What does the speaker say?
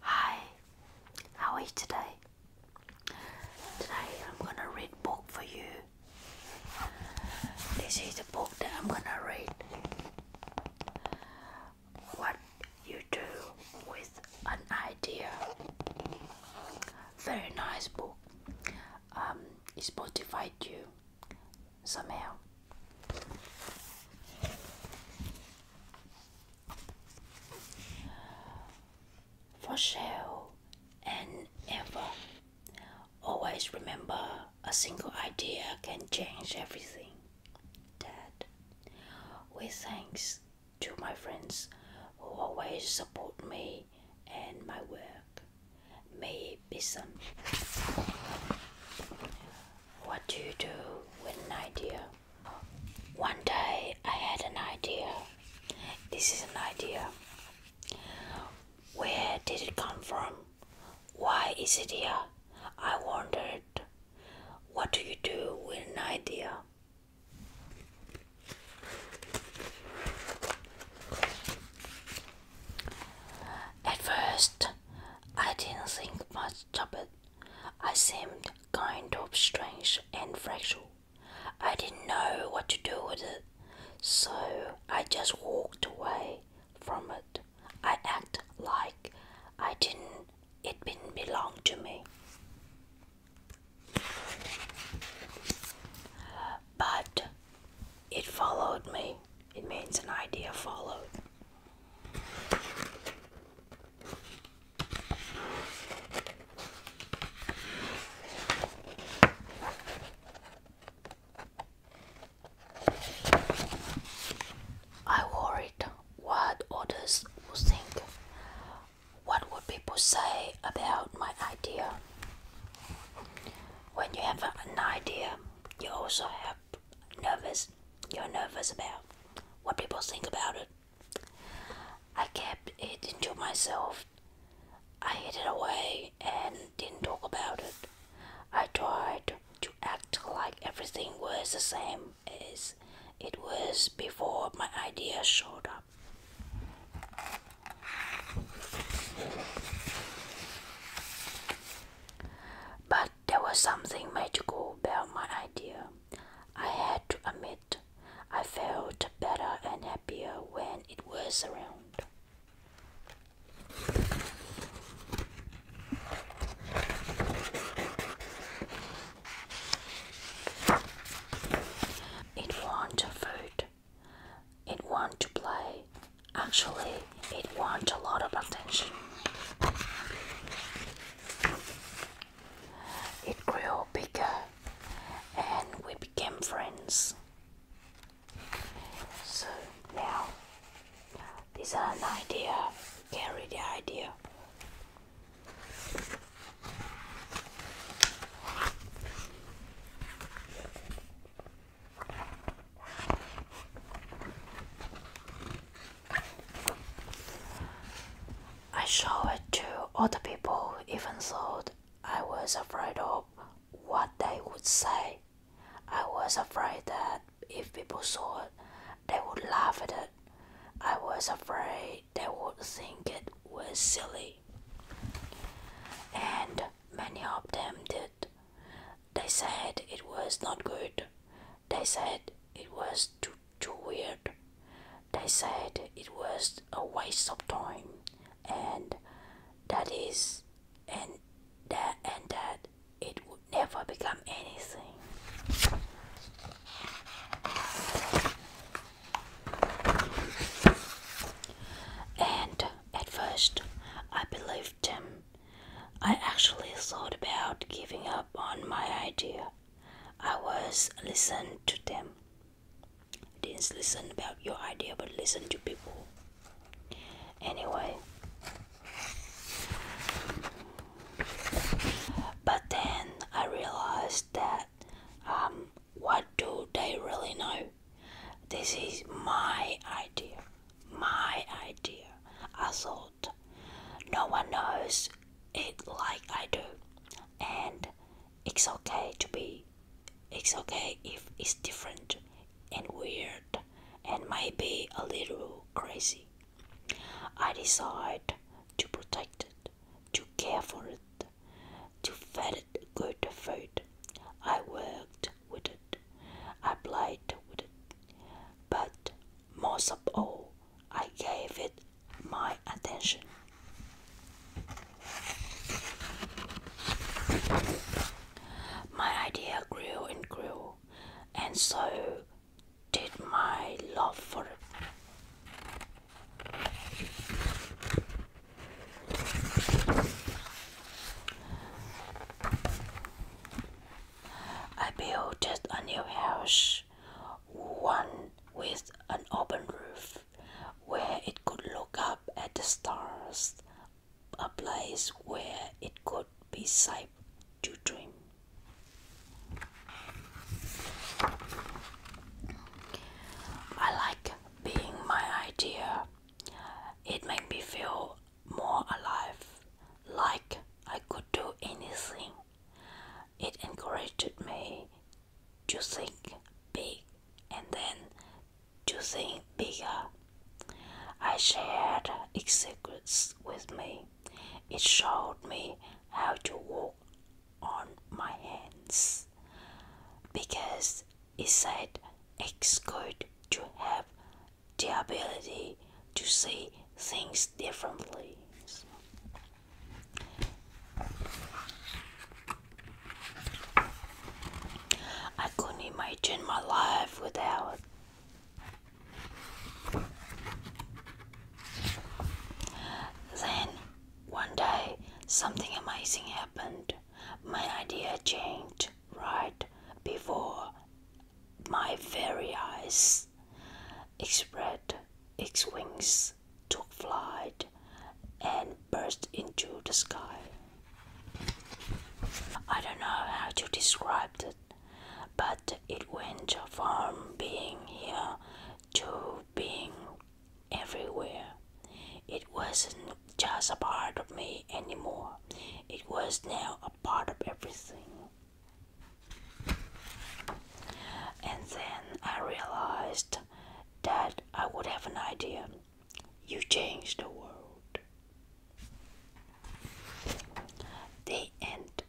Hi, how are you today? Today I'm gonna read book for you. This is a book that I'm gonna read. What you do with an idea. Very nice book. It's um, it you somehow. For sure, and ever. Always remember a single idea can change everything. Dad, with thanks to my friends who always support me and my work. May it be some what do you do with an idea? One day I had an idea. This is an idea. Where did it come from? Why is it here? I wondered. What do you do with an idea? At first, I didn't think much Stop it. I seemed kind of strange and fragile. I didn't know what to do with it, so I just walked away from it. I acted like I didn't it didn't belong to me. But it followed me. It means an idea followed. I worried what others would think. What would people say about my idea? When you have an idea, you also have nervous you're nervous about what people think about it. I kept it into myself. I hid it away and didn't talk about it. I tried to act like everything was the same as it was before my idea showed up. But there was something magical about my idea. I had to admit, I felt better and happier when it was around. It wasn't food, it want to play. Actually, it want a lot of attention. It grew bigger and we became friends. So now, this is an idea. Carry the idea. I showed it to other people, even though I was afraid of what they would say. I was afraid that if people saw it, they would laugh at it. I was afraid they would think it was silly. And many of them did. They said it was not good. They said it was too, too weird. They said it was a waste of time, and that is, and that, and that it would never become anything. And at first, I believed them. I actually thought about giving up on my idea. I was listen to them. Didn't listen about your idea, but listen to people. Anyway. But then I realized that um, what do they really know? This is my idea, my idea, I thought. No one knows it like I do, and it's okay to be, it's okay if it's different and weird and maybe a little crazy. I decide to protect it, to care for it, to feed it good food. I worked with it, I played with it, but most of all, I gave it my attention. My idea grew and grew, and so did my love for it. I built a new house, one with an open roof, where it could look up at the stars, a place where it could be safe to dream. I like being my idea. It made me feel more alive, like I could do anything. It encouraged me to think big and then to think bigger. I shared secrets with me. It showed me how to walk on my hands because he said it's good to have the ability to see things differently. I couldn't imagine my life without. Then one day, something amazing happened. My idea changed right before my very eyes. It spread its wings, took flight, and burst into the sky. I don't know how to describe it, but it went from being here to being everywhere. It wasn't just a part of me anymore, it was now a part of everything. And then I realized that I would have an idea. You change the world. The end.